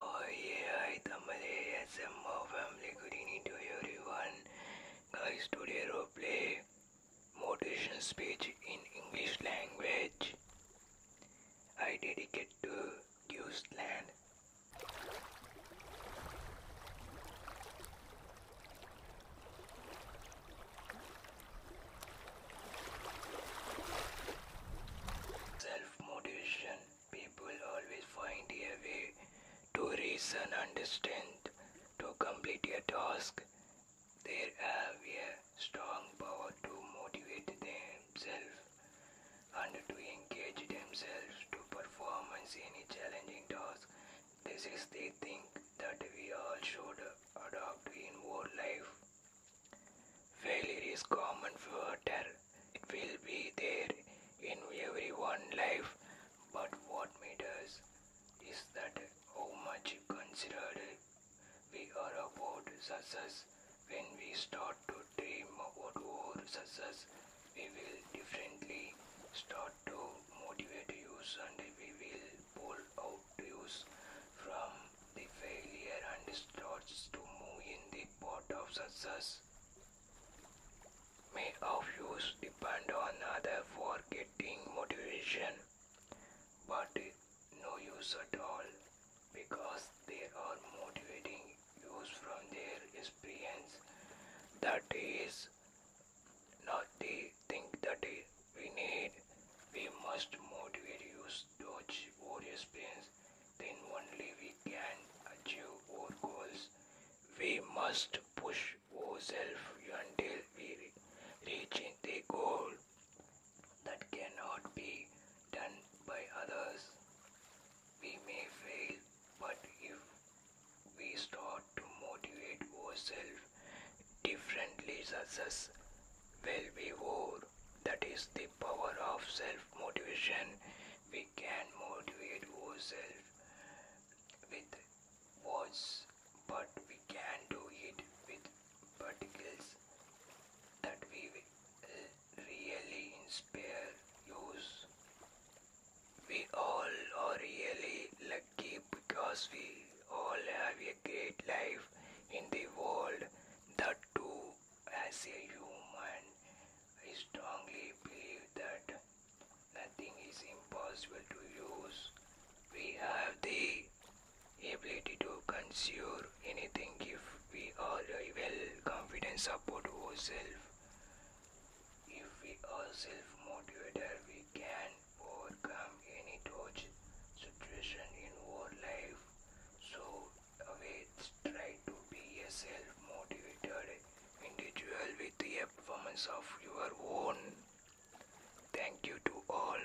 Hi, Tamale SMO family. Good to everyone. Guys, today I will play motivation speech in English language. I dedicate to Giusland. Self-motivation. People always find a way to reason, understand, to complete a task. They have a strong power to motivate themselves and to engage themselves to perform any challenging task. This is the thing that we all should adopt in our life. Failure is common for water. It will be there in everyone's life. But what matters is that how much considered we are about success. When we start to dream about our success, we will differently start to motivate use and we will pull out use from the failure and starts to move in the path of success. May of use depend on other for getting motivation, but no use at all because they are motivating use from their experience that is now they think that we need, we must motivate use achieve various things. Then only we can achieve our goals. We must push ourselves until we reach the goal that cannot be done by others. We may fail but if we start to motivate ourselves differently, success will be more. that is the power of self motivation, we can motivate ourselves with words, but we can do it with particles that we will really inspire use. We all are really lucky because we all have a great life in the world. That too, as a human, I strongly believe that nothing is impossible to use. We have the ability to consume anything if we are well confident support ourselves if we are self motivated we can overcome any torch situation in our life so always try to be a self motivated individual with the performance of your own thank you to all